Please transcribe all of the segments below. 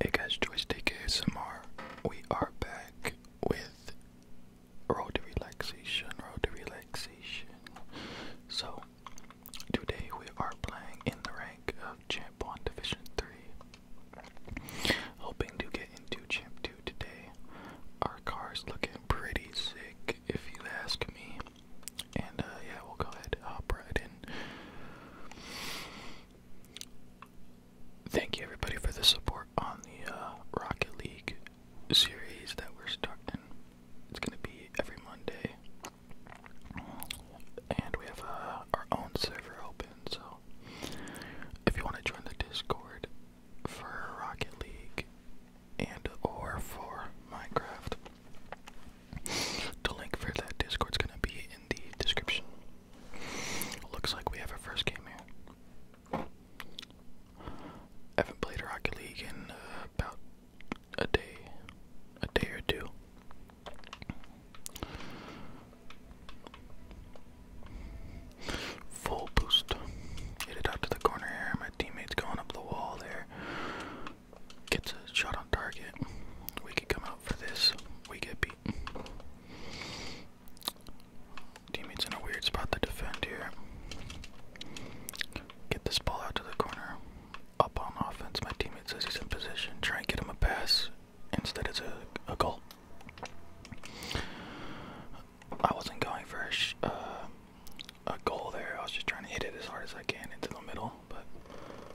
Hey guys, Joystick ASMR. We are back with Road to Relaxation, Road to Relaxation. So, today we are playing in the rank of Champion Division 3. Hoping to get into Champ 2 today. Our car's looking pretty sick, if you ask me. And, uh, yeah, we'll go ahead and hop right in. Thank you everybody for the support on the uh, Rocket League series that we're starting. It's gonna be every Monday, and we have uh, our own server open. So if you want to join the Discord for Rocket League and or for Minecraft, the link for that Discord's gonna be in the description. Looks like we have our first game here. haven't played Rocket League in uh, about a day, a day or two. Full boost. Hit it out to the corner here. My teammate's going up the wall there gets a shot on target, we could come out for this. We get beat. Teammates in a weird spot to defend here. Get this ball out to the corner. Up on offense. My teammate says he's in position. Try and get him a pass. Instead, it's a, a goal. I wasn't going for a, uh, a goal there. I was just trying to hit it as hard as I can into the middle, but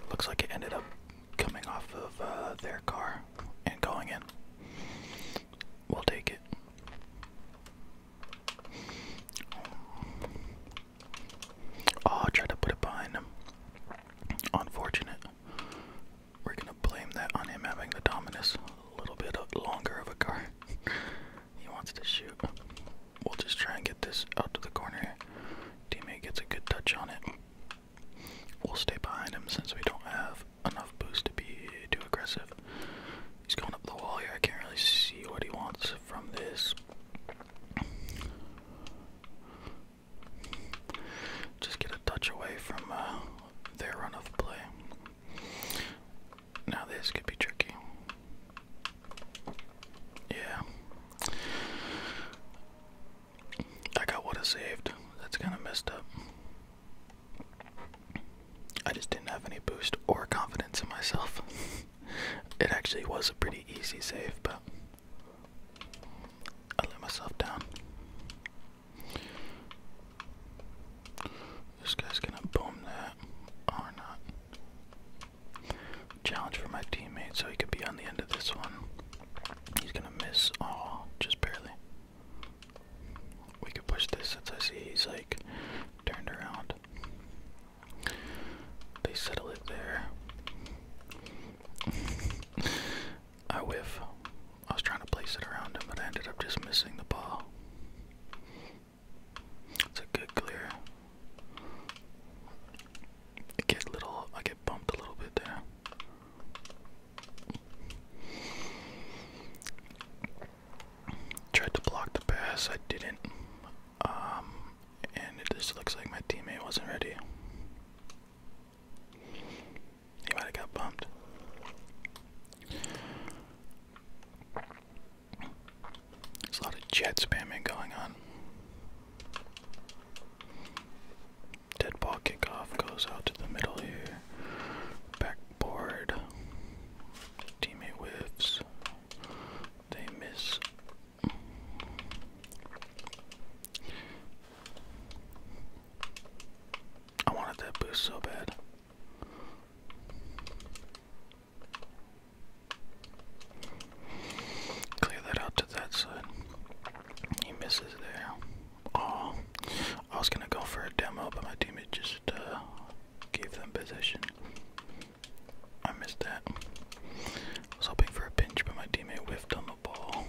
looks like it ended up coming off of uh, their car and going in. We'll take it. Oh, I tried to put it behind him. Unfortunate. We're gonna blame that on him having the Dominus a little bit uh, longer of a car. he wants to shoot we'll just try and get this out to the corner. Teammate gets a good touch on it. We'll stay behind him since we don't have enough boost to be too aggressive. He's going up the wall here. I can't really see what he wants from this. Just get a touch away from uh, their run of play. Now, this could be tricky. Yeah. I got what I saved. That's kind of messed up. I just didn't have any boost or confidence in myself. it actually was a pretty easy save, but I let myself down. This guy's gonna boom that or not. Challenge for my teammate, so he could be on the end of this one. He's gonna miss. all, just barely. We could push this since I see he's like turned around. They settle it there. I whiff. I was trying to place it around him, but I ended up just missing the ball. It's a good clear. I get little I get bumped a little bit there. Tried to block the pass, I didn't. Um and it just looks like my teammate wasn't ready. He might have got bumped. There's a lot of jet spamming going on. Dead ball kickoff goes out to the middle here. Backboard. Teammate whiffs. They miss. I wanted that boost so bad. Clear that out to that side. He misses there. Oh, I was gonna go for a demo, but my teammate just uh, gave them possession. I missed that. I was hoping for a pinch, but my teammate whiffed on the ball.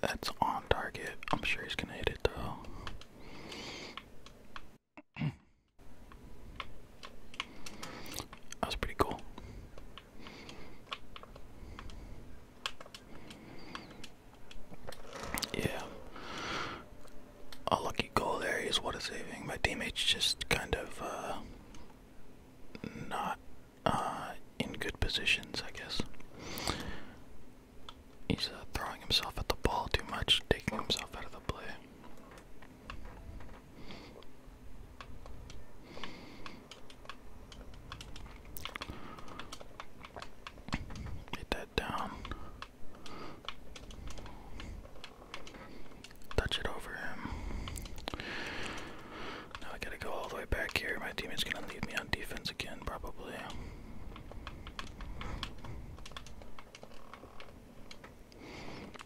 That's on target. I'm sure he's gonna hit it though. That was pretty cool. Yeah. A lucky goal there is what saving. My teammates just kind of uh, not uh, in good positions, I guess. He's uh, throwing himself at the ball too much, taking himself out of the play. Get that down. Touch it over him. Now I gotta go all the way back here. My teammate's gonna leave me on defense again, probably.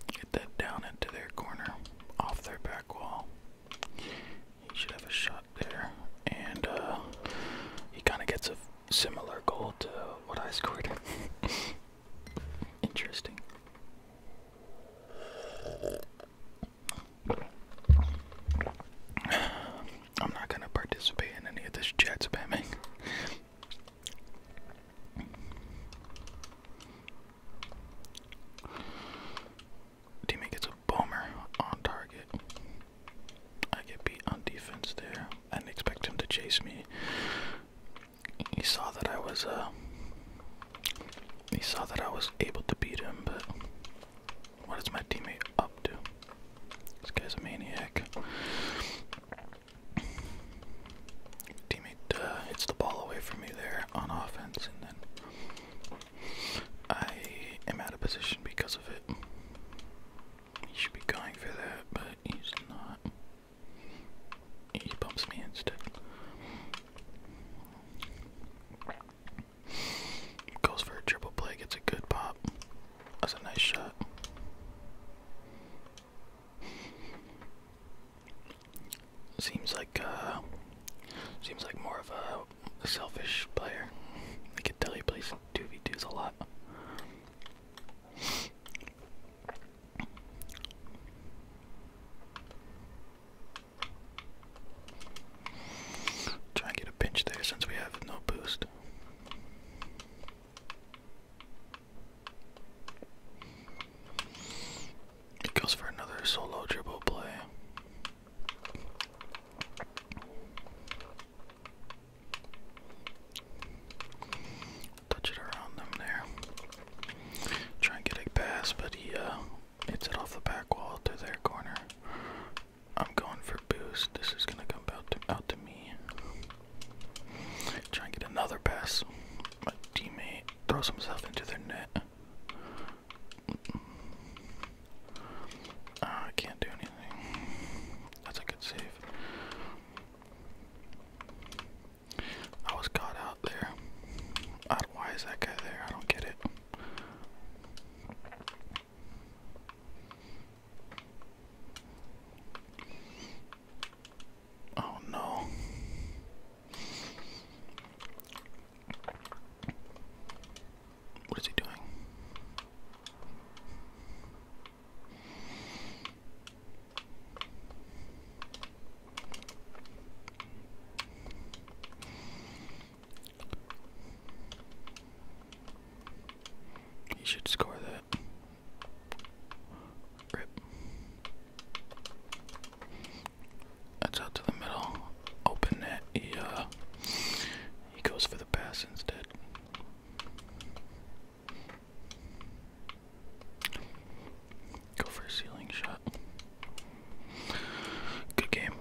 Get that down into their corner, off their back wall. He should have a shot there. And uh, he kind of gets a similar goal to what I scored. Interesting. I'm not going to participate in any of this chat Teammate gets a bomber on target. I get beat on defense there. I expect him to chase me. He saw that I was uh he saw that I was able to beat him, but what is my teammate up to? This guy's a maniac. Teammate uh, hits the ball away from me there on offense, and then I am out of position because of it. He should be going for that, but he's not. He bumps me instead. Goes for a triple play, gets a good pop. That's a nice shot. Seems like uh, seems like more of a selfish player. I can tell he plays 2v2s a lot. Try and get a pinch there since we have no boost. It goes for another solo dribble play. Touch it around them there. Try and get a pass, but he uh, hits it off the back wall to their corner. I'm going for boost. This is gonna come out to, out to me. Try and get another pass. My teammate throws himself into their net. Ah, I can't do anything. That's a good save. I was caught out there. why is that guy there? I don't get it. Oh no. What is he doing? He should score that. Rip. That's out to the middle. Open net. He, uh, he goes for the pass instead. Go for a ceiling shot. Good game.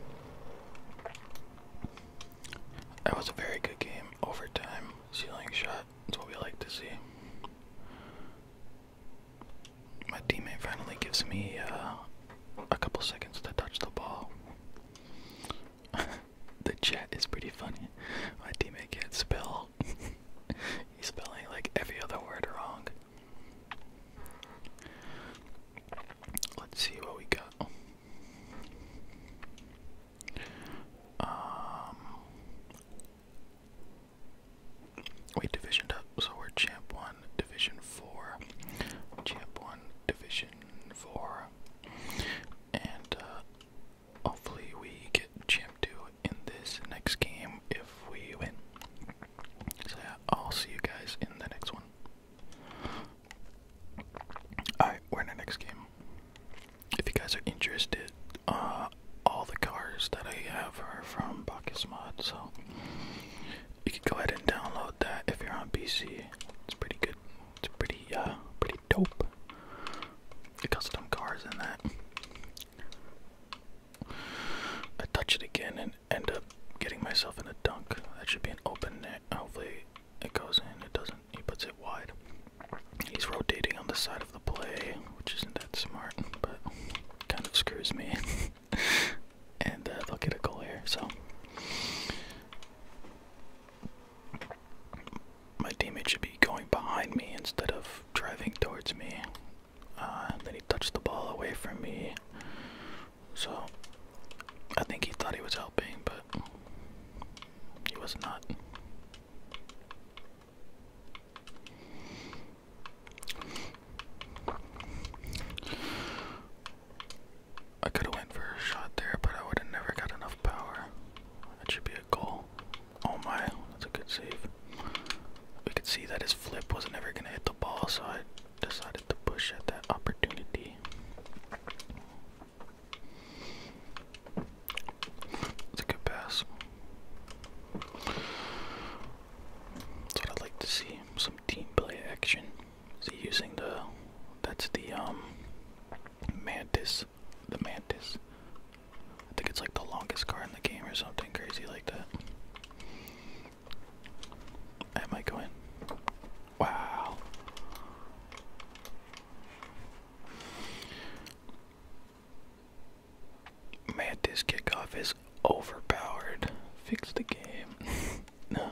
That was a very good game. Overtime, ceiling shot. That's what we like to see. My teammate finally gives me uh, a couple seconds to touch the ball. the chat is pretty funny. My teammate can't spell. He's spelling like every other word wrong. Let's see what we got. Um we divisioned up, so we're champ one, division four, champ one, division four, and uh, hopefully we get champ two in this next game if we win. So I'll see you guys in the next one. All right, we're in the next game if you guys are interested, uh, all the cars that I have are from Bacchus Mod, so you can go ahead and download that if you're on PC. It's pretty good. It's pretty, uh, pretty dope. The custom cars in that. I touch it again and end up getting myself in a dunk. That should be an open net. Hopefully it goes in. It doesn't. He puts it wide. He's rotating on the side of the play, which isn't that smart, but kind of screws me. and uh, they'll get a goal here, so. My teammate should be going behind me instead of driving towards me. Uh, then he touched the ball away from me. So, I think he thought he was helping, but he was not. I could have went for a shot there, but I would have never got enough power. That should be a goal. Oh my, that's a good save. We could see that his flip was never gonna hit the ball, so I decided to push at that opportunity. It's a good pass. That's what I'd like to see. Some team play action. Is he using the that's the um mantis. The mantis. I think it's like the longest car in the game or something crazy like that. I might Wow. Man, this kickoff is overpowered. Fix the game. no.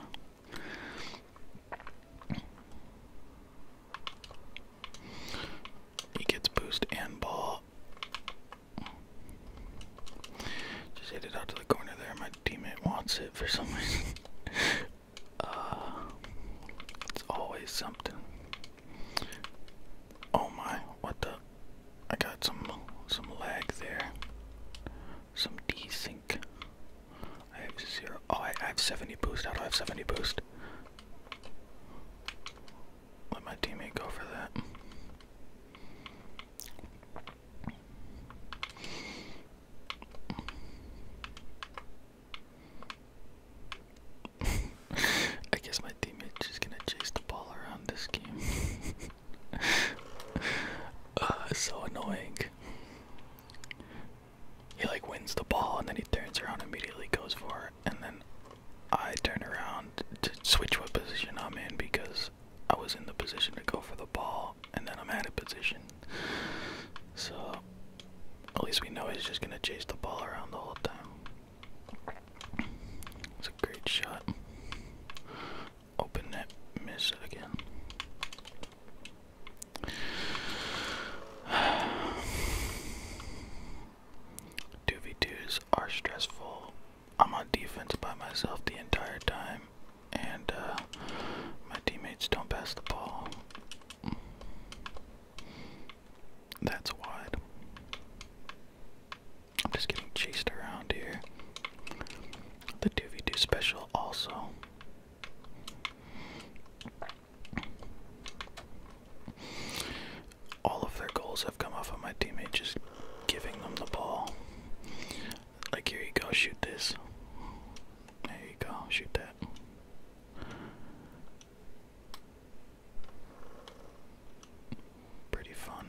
He gets boost and ball. Just hit it out to the corner there. My teammate wants it for some reason. Uh, it's always something. Oh my, what the? I got some some lag there. Some desync. I have zero. Oh, I, have 70 boost. How do I have 70 boost? Let my teammate go for that. I guess my teammate just gonna chase the ball around this game. uh, so annoying. He like wins the ball and then he turns around immediately goes for it and then I turn around to switch what position I'm in because I was in the position to go for the ball and then I'm out of position. So at least we know he's just gonna chase the ball around the whole time. It's a great shot. Open net, miss again. Two v twos are stressful. I'm on defense by myself the entire time, and uh, my teammates don't pass the ball. That's wide. I'm just getting chased around here. The 2v2 special also. All of their goals have come off of my teammate just giving them the ball. Like, here you go, shoot this. There you go, shoot that. Pretty fun.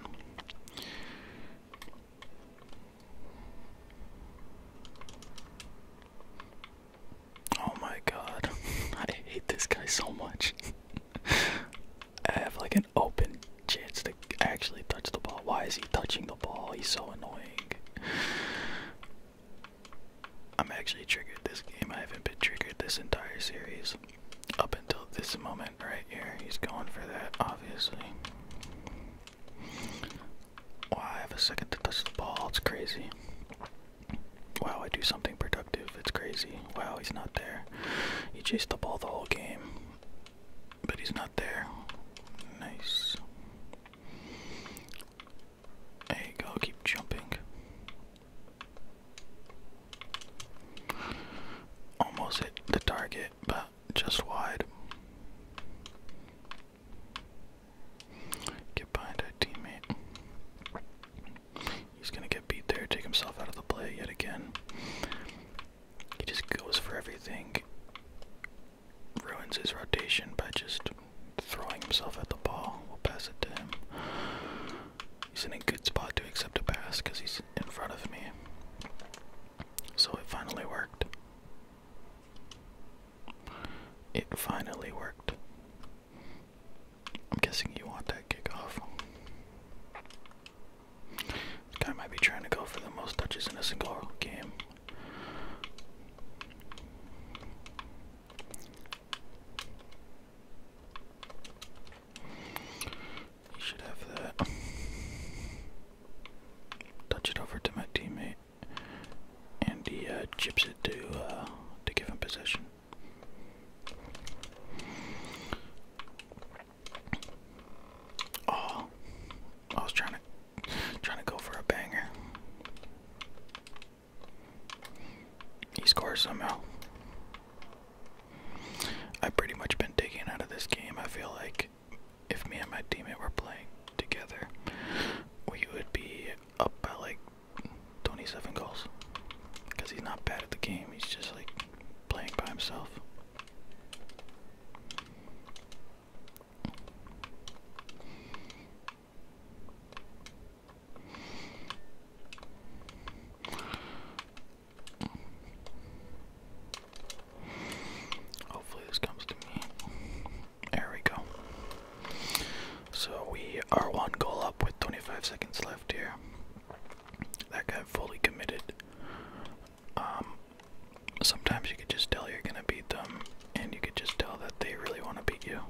Oh my god, I hate this guy so much. I have like an open chance to actually touch the ball. Why is he touching the ball? He's so annoying. I'm actually triggered this game. I haven't been triggered this entire series up until this moment right here. He's going for that, obviously. Wow, I have a second to touch the ball. It's crazy. Wow, I do something productive. It's crazy. Wow, he's not there. He chased the ball the whole game, but he's not there. Nice. There you go, keep jumping. Almost hit the target, but just wide. Get behind a teammate. He's gonna get beat there, take himself out of the play yet again. He just goes for everything. Ruins his rotation by just throwing himself at the ball. We'll pass it to him. He's in a good spot to accept a pass because he's in front of me. So it finally worked. It finally worked. I'm guessing you want that kickoff. This guy might be trying to go for the most touches in a single game. You should have that. Touch it over to my teammate, and he uh, chips it to uh, to give him possession. Oh, I was trying to trying to go for a banger. He scores somehow. I've pretty much been taken out of this game. I feel like if me and my teammate were playing together, we would be up by like 27 goals. Because he's not bad at the game, he's just like playing by himself. Hopefully this comes to me. There we go. So we are one goal up with 25 seconds left here. That guy fully committed. Um, sometimes you could just tell you're gonna beat them, and you could just tell that they really want to beat you.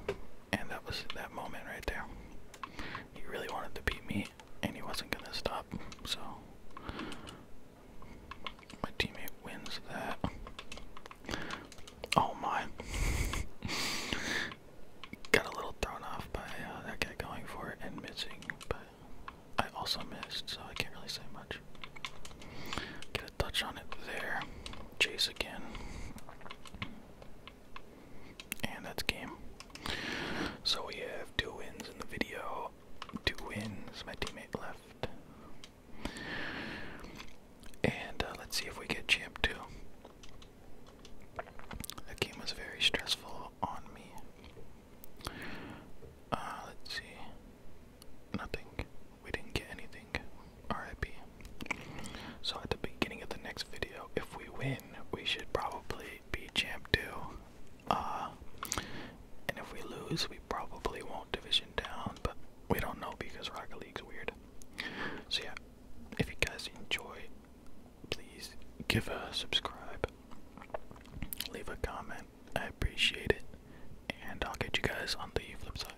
And that was that moment right there. He really wanted to beat me, and he wasn't gonna stop. So my teammate wins that. Oh my! Got a little thrown off by uh, that guy going for it and missing, but I also missed, so I can't really say much. Get a touch on it there. Chase again. And that's game. So we have two wins in the video. Two wins. My teammate left. And uh, let's see if we get champ too. That game was very stressful on me. Uh, let's see. Nothing we didn't get anything. RIP. So at the beginning of the next video, if we win, we should probably be champ two. Uh and if we lose, we probably won't division down, but we don't know because Rocket League's weird. So yeah, if you guys enjoy, please give a subscribe. Leave a comment. I appreciate it. And I'll get you guys on the flip side.